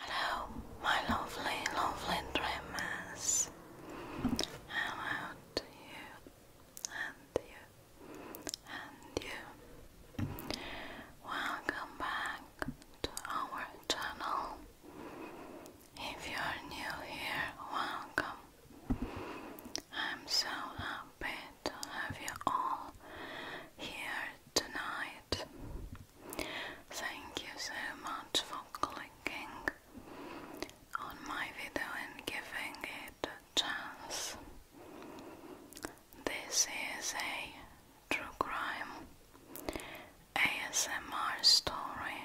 Hello, my lovely, lovely dreamers. How about you? And you? And you? Welcome back to our channel. If you are new here, welcome. I'm so happy to have you all here tonight. Thank you so much for clicking on my video and giving it a chance. This is a true crime ASMR story.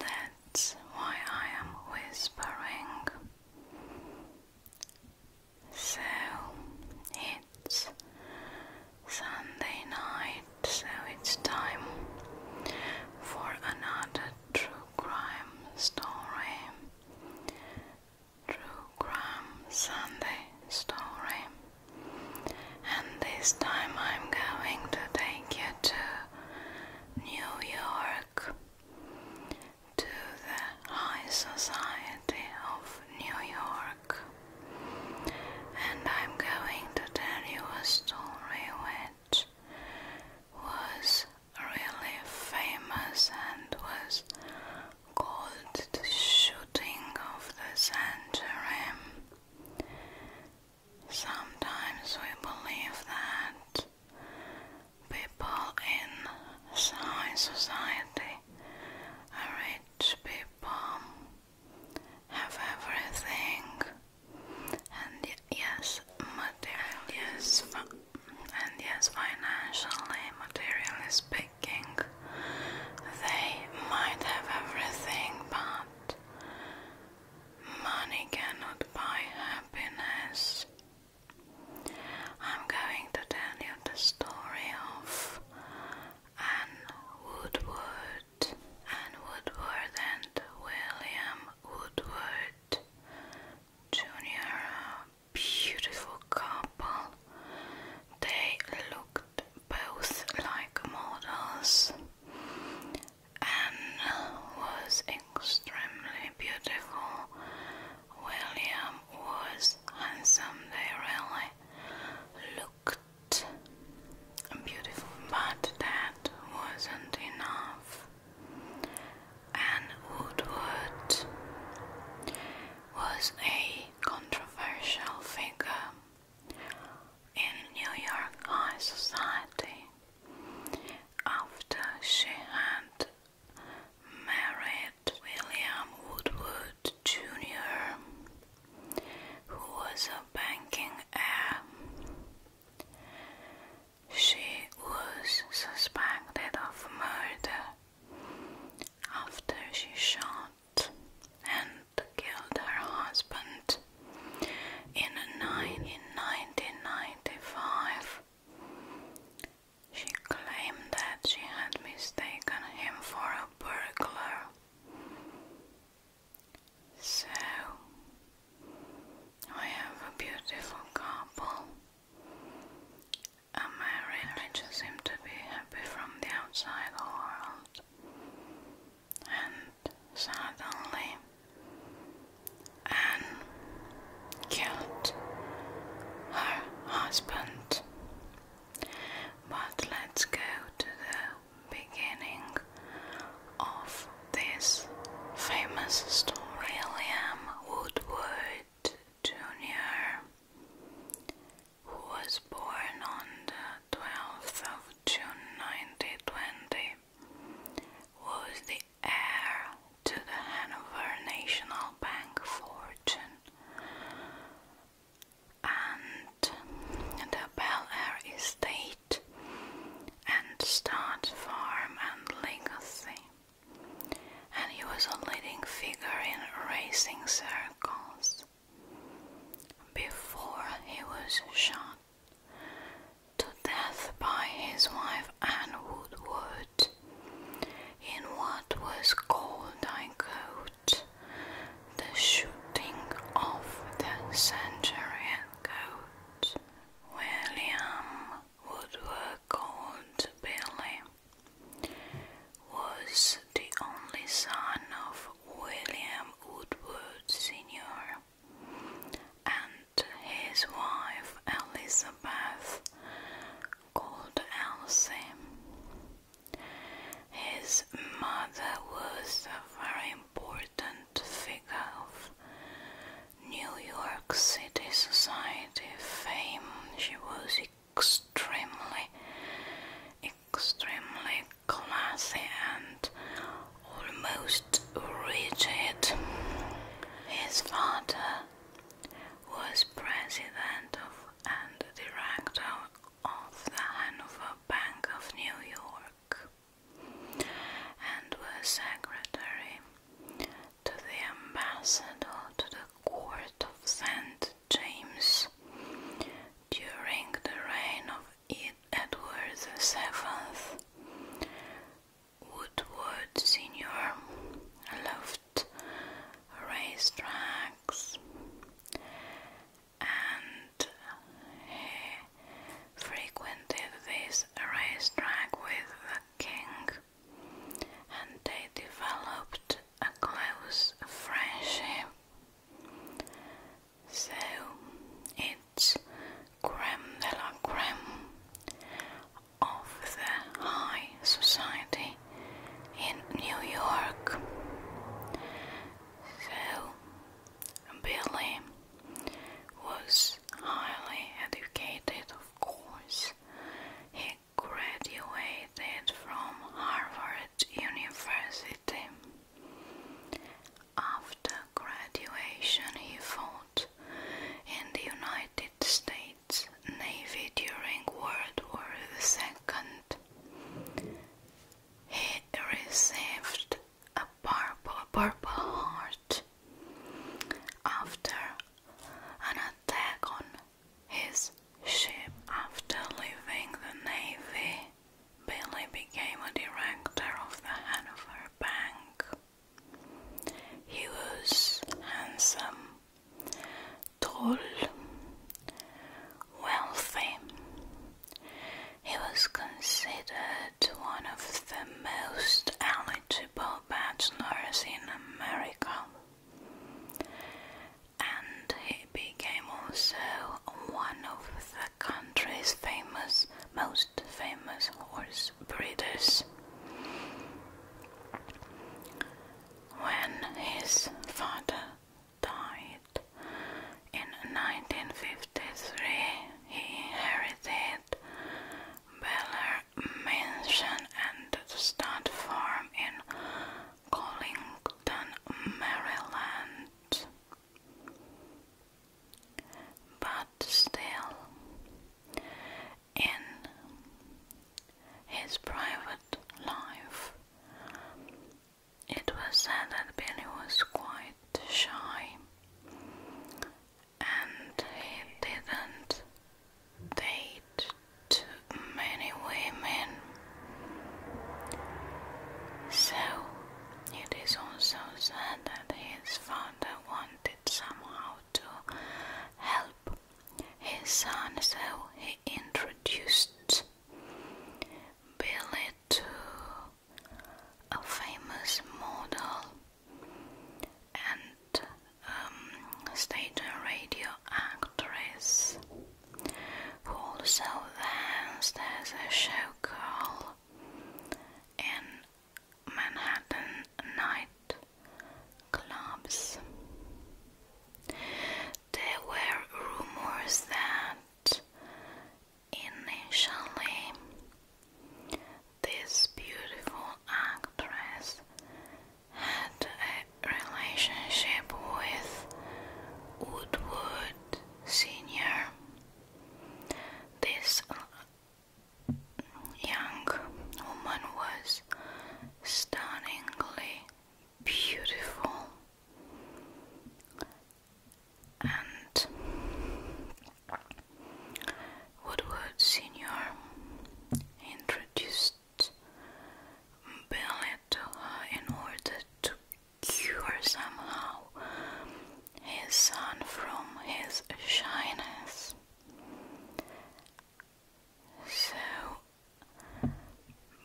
That's why I am whispering. So it's Sunday night, so it's time for another true crime story. True crime Sunday story. And this time I'm going to take you to New York to the High Society of New York, and I'm going to tell you a story which was really famous and was called the shooting of the century. Sometimes we believe that People in science society are rich people, have everything, and yes, materially, yes, and yes, financially, materially speaking, they might have everything, but money cannot buy happiness. I'm going to tell you the story of Anne Woodward Anne Woodward and William Woodward Jr. A beautiful couple. They looked both like models. Anne was extremely beautiful. William was handsome, they really looked beautiful, but that wasn't enough. And Woodward was a controversial figure in New York high society after she had married William Woodward Jr., who was a banking heir. She was suspected of murder after she shot and killed her husband in 1995. She claimed that she had mistaken him for a burglar. So, we have a beautiful couple. A marriage seem to be happy from the outside world. And suddenly, Anne killed her husband. But let's go to the beginning of this famous story, William Woodward Jr., who was born on the 12th of June 1920, was the heir to the Hanover National Bank fortune, and the Bel Air estate, and stud farm and legacy. And he was a leading figure in racing circles. Before he was shot to death by his wife and Woodward in what was called, I quote, the shooting of the Centurion Coat. William Woodward, called Billy, was the only son of William Woodward Sr. and his wife Elizabeth, called Elsie. His mother was a very important figure of New York City society fame. She was extremely, extremely classy and almost rigid. His father was president of and director of the Hanover Bank of New York and was secretary to the ambassador to the court of St. James during the reign of Edward VII. Woodward Sr. loved at and he frequented this racetrack with the king and they developed a close friendship. So it's creme de la creme of the high society in New York. So, Billy was highly educated, of course. He graduated from Harvard University. After graduation, he fought in the United States Navy during World War II. He received a Purple, purple Heart after an attack on his ship. After leaving the Navy, Billy became a director of the Hanover Bank. He was handsome Droll, wealthy. He was considered one of the most eligible bachelors in America, and he became also one of the country's famous, most famous horse breeders when his father died in 1953, he inherited Beller Mansion and the stud farm in Collington, Maryland. But still, in his private life. It was said that Billy was quite shy and he didn't date many women. So it is also said that his father wanted somehow to help his son, so he introduced Billy to a famous model and um, stage and radio actress who also danced as a showgirl in Manhattan Night clubs. There were rumors that initially this beautiful actress had a relationship with Woodward Sr. This young woman was stunningly beautiful and Woodward Senior introduced Billy to in order to cure somehow his son from his shyness. So,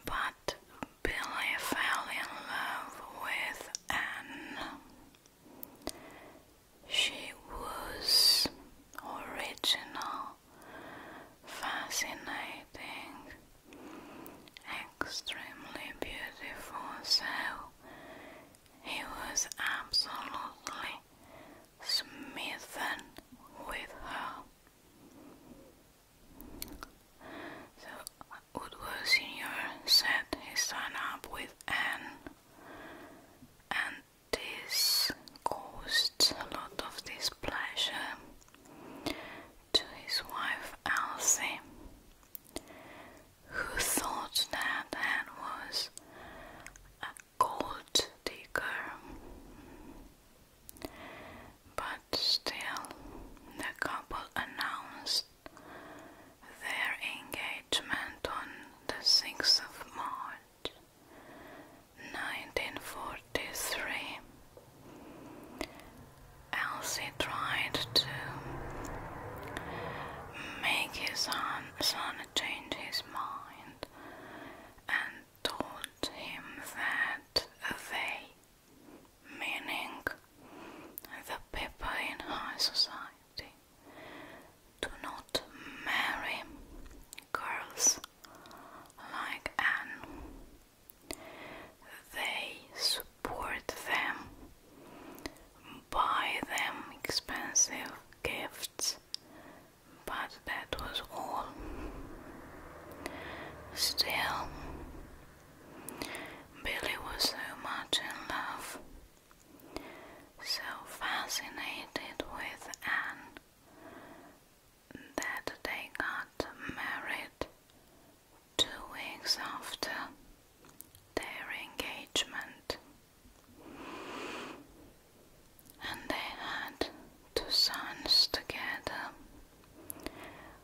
but Billy fell in love with Anne. She was original, fascinating, extremely beautiful, so he was absolutely Smith, smitten with her. The Woodward Senior set his son up with Anne, and this caused a lot of displeasure to his wife Elsie, who thought that Anne was gold digger, but still the couple announced their engagement on the 6th of March 1943. Elsie tried to make his son, son change his mind and and told him that they, meaning the people in high society, do not marry girls like Anne. They support them, buy them expensive gifts but that was all. Still, Billy was so much in love, so fascinated with Anne, that they got married two weeks after their engagement and they had two sons together.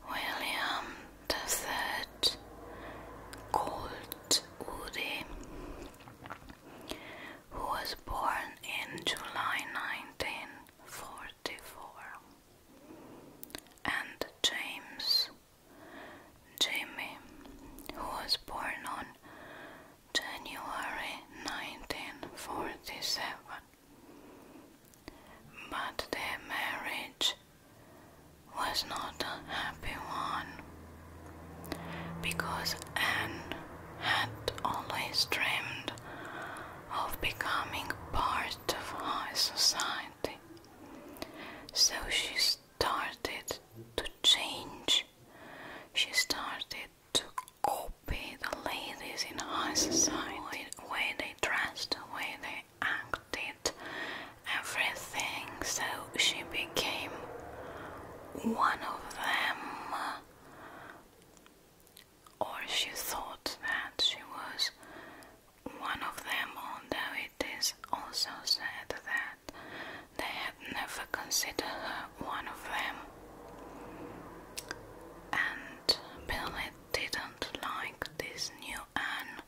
William the Third, called Woody, who was born in July 1944, and James, Jimmy, who was born on January 1947. But their marriage was not a happy one because Anne had always dreamed of becoming part of high society, so she started to change. She started to copy the ladies in high society, the way they dressed, the way they acted, everything. So she became one of them, or she thought that she was one of them, although it is also said that they never considered her one of them, and Billy didn't like this new Anne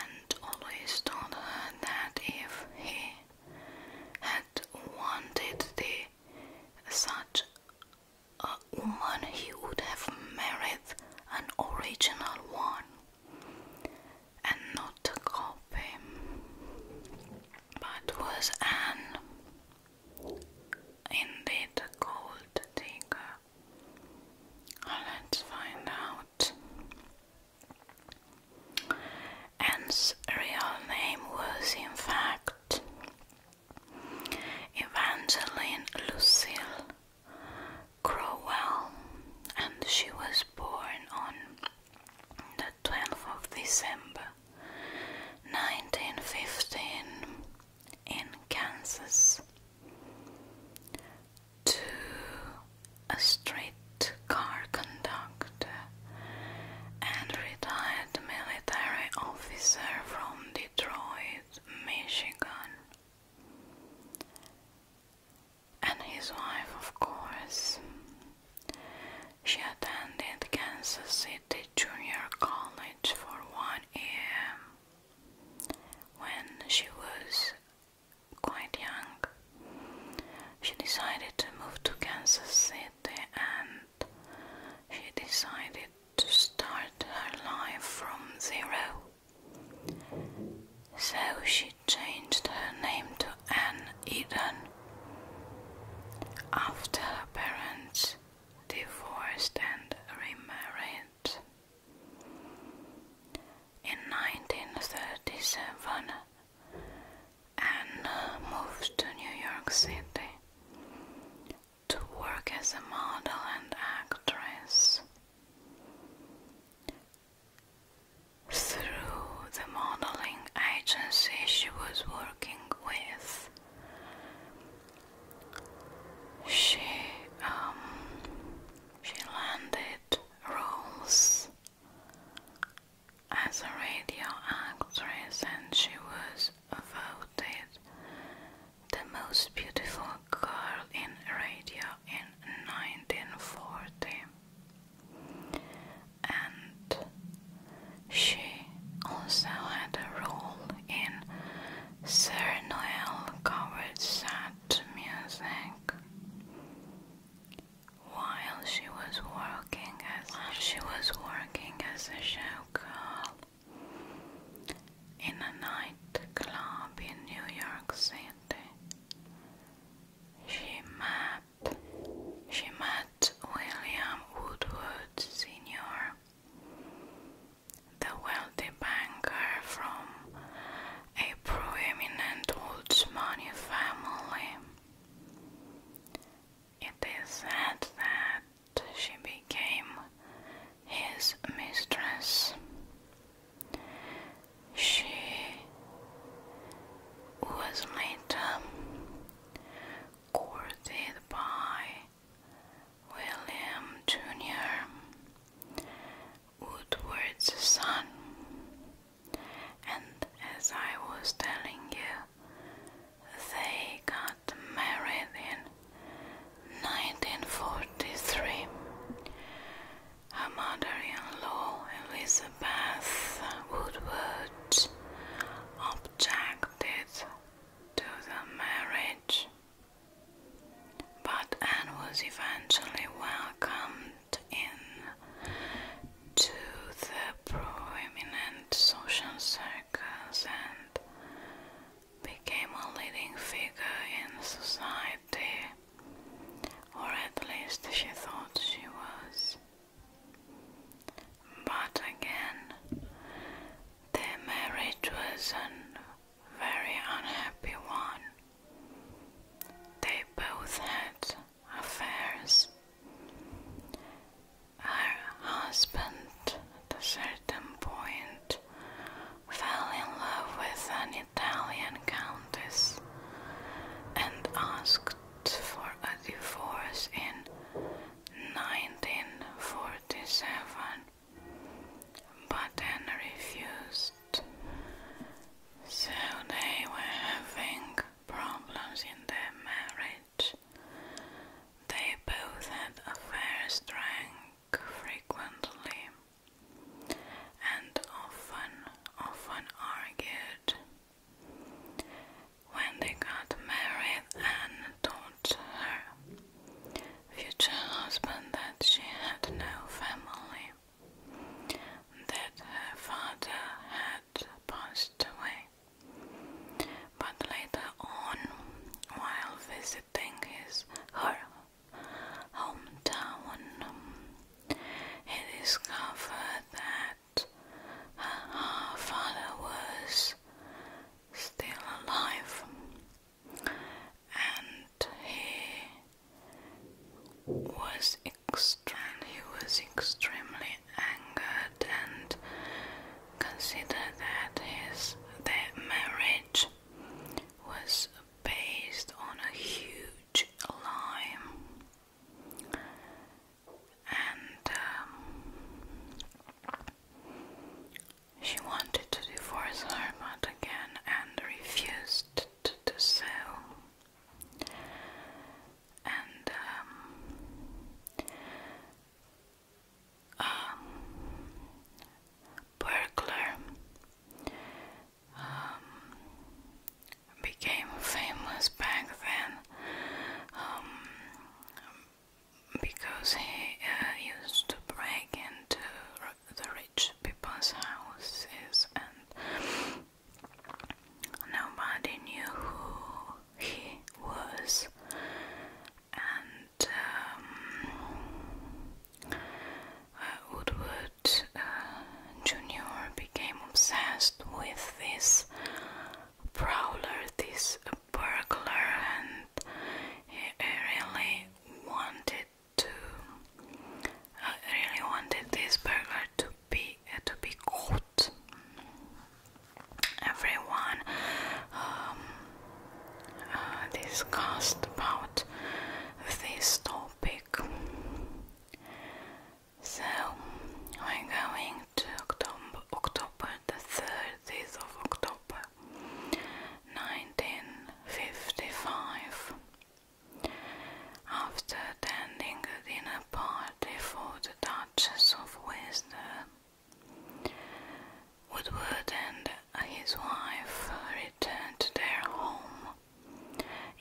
and always told her that if he had wanted the such a woman he would have married an original one and not a copy but was an indeed gold digger. Let's find out. Anne's real name was, in fact, Evangeline Lucille Crowell, and she was born on the 12th of December 1915 in Kansas. To a streetcar conductor and retired military officer from Detroit, Michigan. And his wife, of course. She attended Kansas City Junior College for one year when she was quite young. She decided to move to Kansas City and she decided to start her life from zero. So she changed her name to and Eden. After her parents divorced and remarried. In 1937, Anne moves to New York City to work as a model and actress. Through the modeling agency she was working with. She um, she landed roles as a radio actress and she was voted the most beautiful girl in radio in 1940 and she also had a role in Sir Noel Coward's sad music. While she was working as she was working as a showgirl in a nightclub in New York City, she met she met William Woodward Sr., the wealthy banker from a prominent money family. It is said that she became his mistress. She was later courted by William Jr., Woodward's son. And as I was telling you, they got married in 1943. Her mother in law, Elizabeth Woodward, objected to the marriage, but Anne was eventually welcomed in to the prominent social circles and became a leading figure in society, or at least she thought she was. But again, their marriage was a very unhappy one. They both had affairs. Her husband, at a certain point, fell in love with an Italian countess and asked for a divorce in 1947, but then refused. So they were having problems in their marriage. They both had affairs, drank frequently, and often, often argued. When they got married, Anne told her future husband that she had no family, that her father had passed away. But later on, while visiting his her hometown, he discovered that that her father was still alive and he was extremely he was extremely angered and considered that his their marriage was based on a huge lie and um, she wanted to divorce her, but again and refused to sell. And um, um, burglar became famous back then um, because he uh, used to break into the rich people's houses and nobody knew who he was and um, uh, Woodward uh, Jr. became obsessed with this prowler, this burglar, and he really wanted to I uh, really wanted this burglar to be uh, to be caught. Everyone um, uh, discussed about this topic. So we're going to October, October the 30th of October 1955. After attending a dinner party for the Duchess of Windsor, Woodward and his wife returned to their home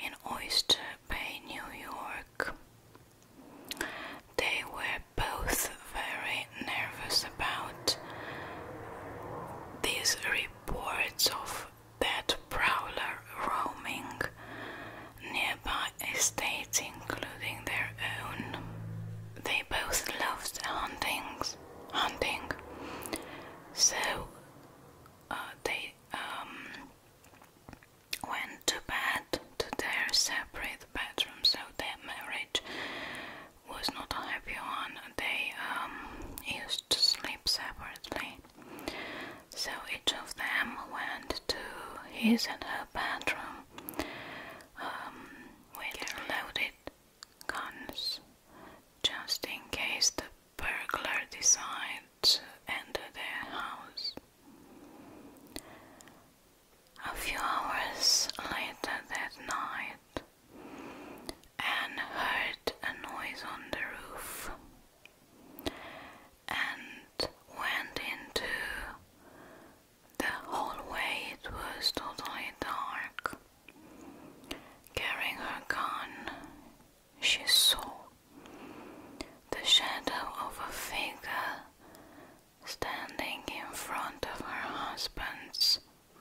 in Oyster Bay, New York. They were both very nervous about these reports of that prowler roaming nearby estates, including their own. They both loved huntings, hunting, so uh, they um, went to bed to their separate bedrooms, so their marriage was not a happy one. They um, used to sleep separately. So each of them went to his and her bedroom um, with loaded guns, just in case the burglar decides to enter their house. A few hours later that night, Anne heard a noise on the roof and went into the hallway. It was totally dark. Carrying her gun, she saw the shadow of a figure standing in front of her husband's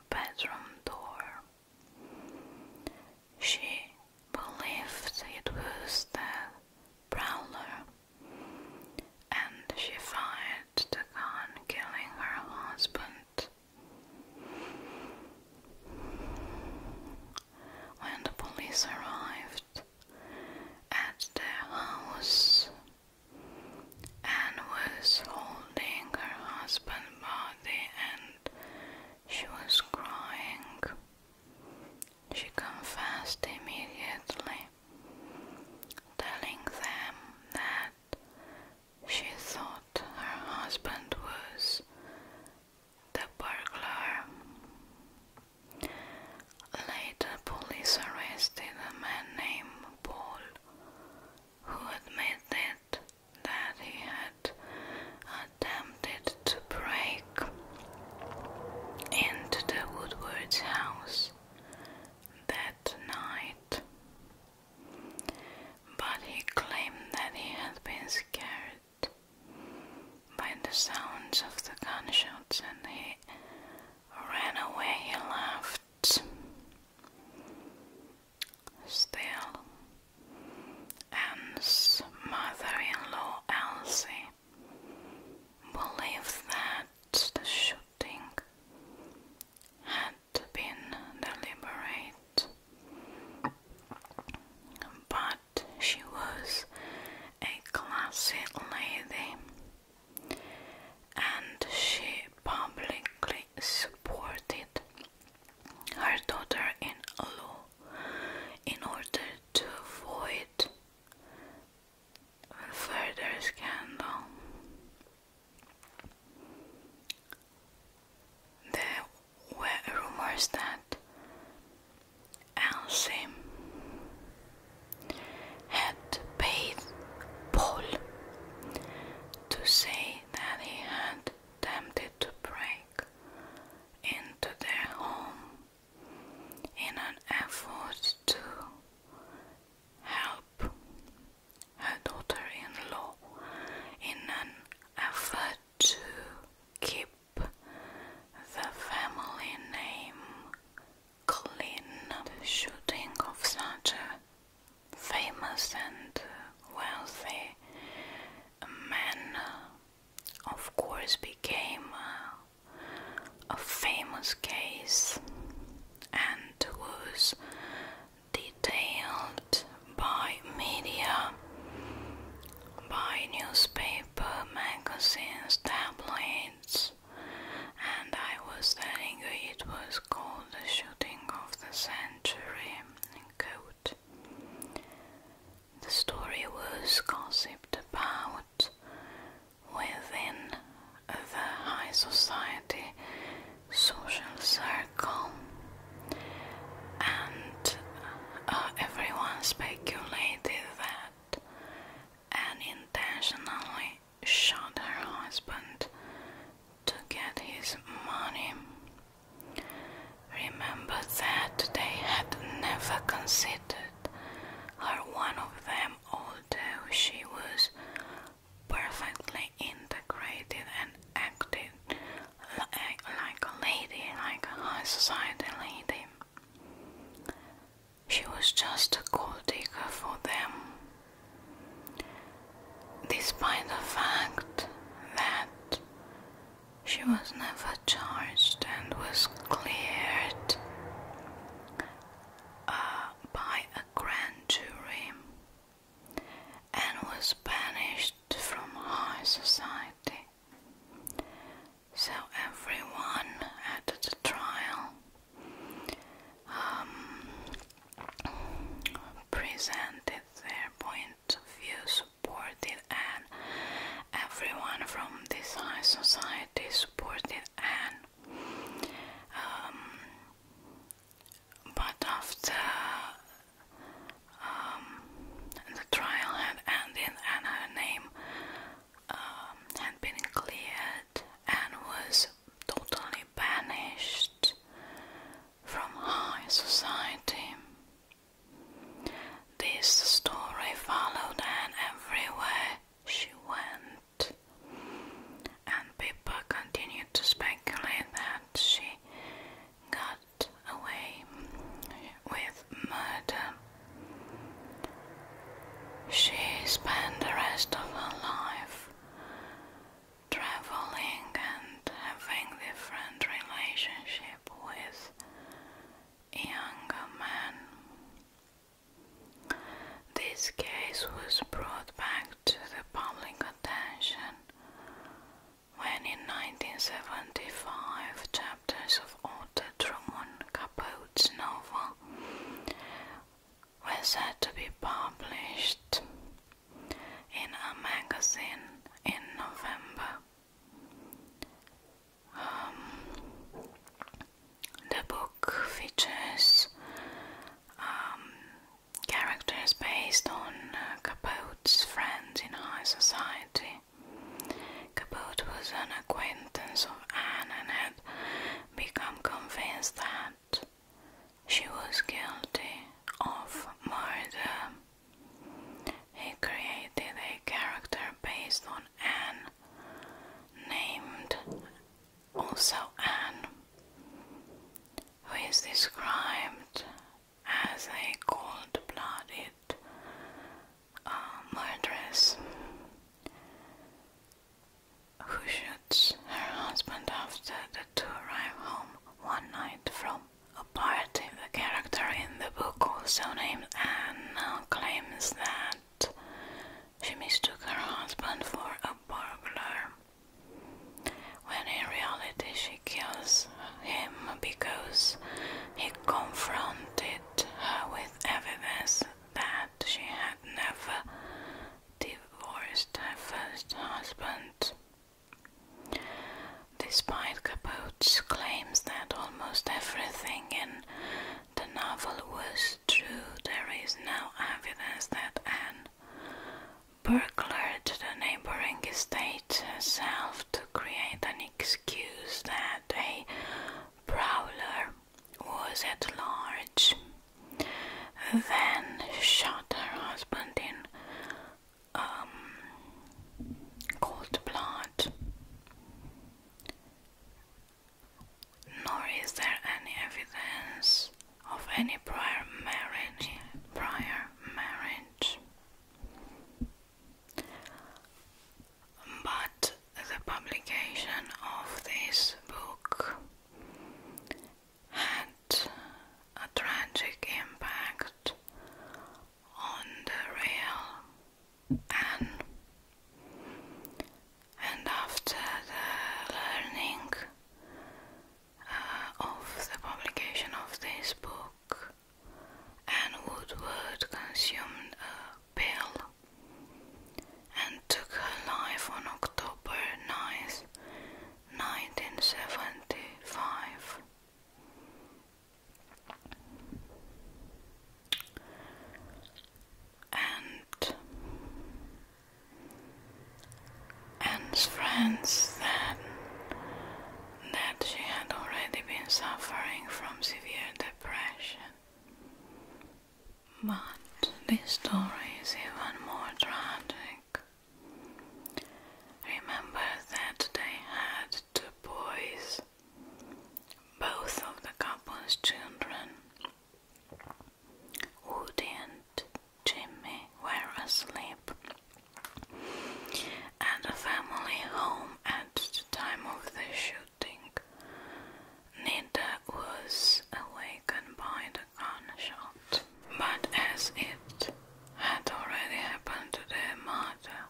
bedroom door. She believed it was the prowler, and she fired the gun, killing her husband. When the police arrived, at their house and was holding her husband's body and she was crying. She confessed immediately, telling them that she thought her husband was the burglar. Later, police arrested a man named Paul who admitted that he had attempted to break into the Woodward's house that night. But he claimed that he had been scared by the sounds of the gunshots and he ran away. He laughed. Still, Anne's mother-in-law Elsie believed that the shooting had been deliberate, but she was a classy lady and she publicly supported her daughter in law in order to avoid further scandal. There were rumors that Elsie had paid Paul to say that he had attempted to break into their home in an effort to help her daughter in law in an effort to keep the family name Klin. The shooting of such a famous and wealthy man, of course, became a, a famous case and was detailed by media, by newspapers magazines, tabloids, and I was telling you it was called the shooting of the century. Quote. The story was gossiped about within the high society social circle, and uh, everyone speculated that and intentionally shot her husband to get his money. Remember that they had never considered her one of them, although she was perfectly integrated and acted like, a lady, like a high society lady. She was just a gold digger for them, despite the fact that she was never charged and was cleared uh, by a grand jury and was banished from high society. So everyone at the trial um, presented their point of view, supported Anne. Everyone from this high society supported Anne. Um, but after um, the trial had ended and name had been cleared and was totally banished from high society. This story followed Anne everywhere she went, and people continued to speculate that she got away with murder. She spent the rest of her life traveling and having different relationship with younger men. This case was brought back to the public attention when in 1975 chapters of Otto Truman Capote's novel were said to be published in a magazine in November. Um, the book features um, characters based on uh, Capote's friends in high society Cabot was an acquaintance of Anne and had become convinced that she was guilty of murder. He created a character based on Anne, named also Anne, who is described as a cold blooded uh, Who shoots her husband after the two arrive home one night from a party? The character in the book, also named Anne, claims that she mistook her husband for a burglar, when in reality she kills him because he confronted her with evidence that she had never divorced her first husband. Despite Capote's claims that almost everything in the novel was true, there is no evidence that Anne burglared the neighboring estate herself to create an excuse that a prowler was at large then shot her husband in um, cold blood. Nor is there any evidence of any prior marriage. Prior marriage but the publication of this book had a tragic impact on the real Anne. And after the learning uh, of the publication of this book, Anne Woodward consumed a pill and took her life on October 9th, 1975. And Anne's friends then that she had already been suffering from severe depression but this story is even more tragic. Remember that they had two boys, both of the couple's children. Woody and Jimmy were asleep at the family home at the time of the shooting shouting. Nita was awakened by the gunshot, but as it had already happened to their mother,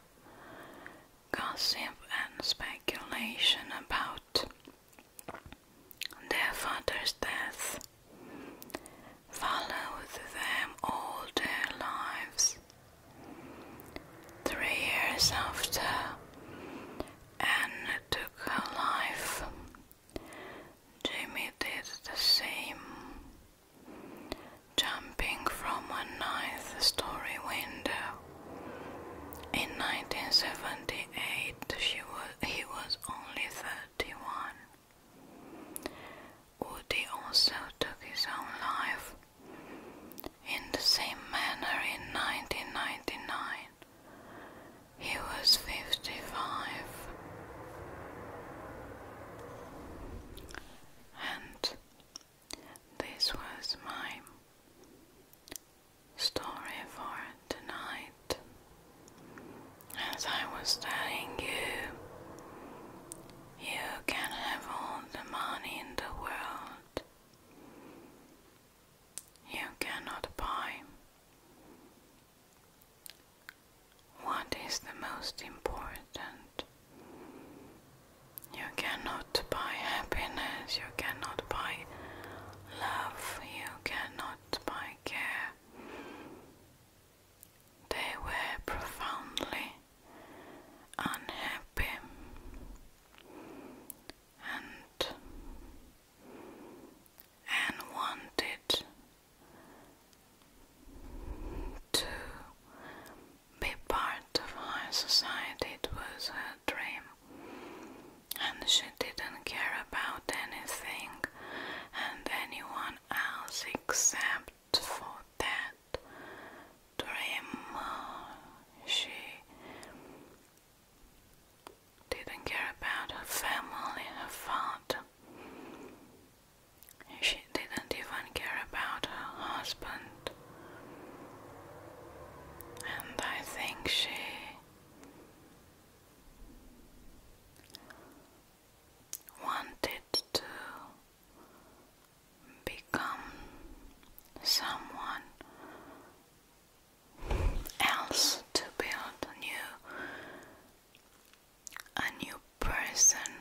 gossip and speculation about their father's death followed them all their lives. Three years after, Anne took her life. Jimmy did the same, jumping from a ninth story window. In 1978, she was, he was only 31. Woody also took his own life in the same manner, in 1999, he was 55. And this was my story for tonight. As I was telling you, you can have all the money in the world. You cannot buy. What is the most important? You cannot buy happiness, you cannot buy love, you cannot buy care. They were profoundly unhappy and Anne wanted to be part of high society. was her dream, and she didn't care about anything and anyone else except for that dream she didn't care about her family, her father. She didn't even care about her husband. And I think she wanted to become someone else to build a new a new person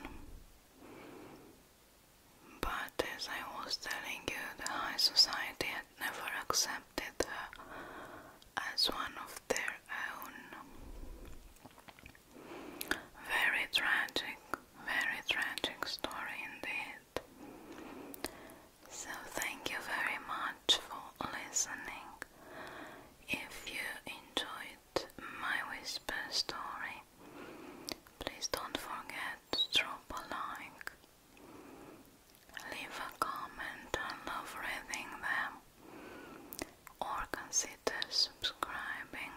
but as I was telling you the high society had never accepted her as one of their own very tragic very tragic story indeed so, thank you very much for listening. If you enjoyed my whisper story, please don't forget to drop a like, leave a comment, I love reading them, or consider subscribing.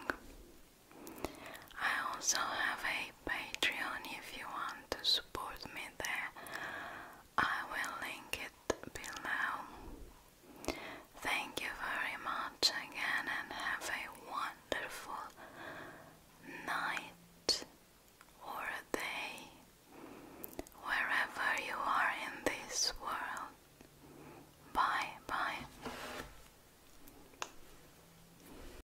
I also have a Patreon if you want to support me there. I will link it below. Thank you very much again and have a wonderful night or day wherever you are in this world. Bye bye.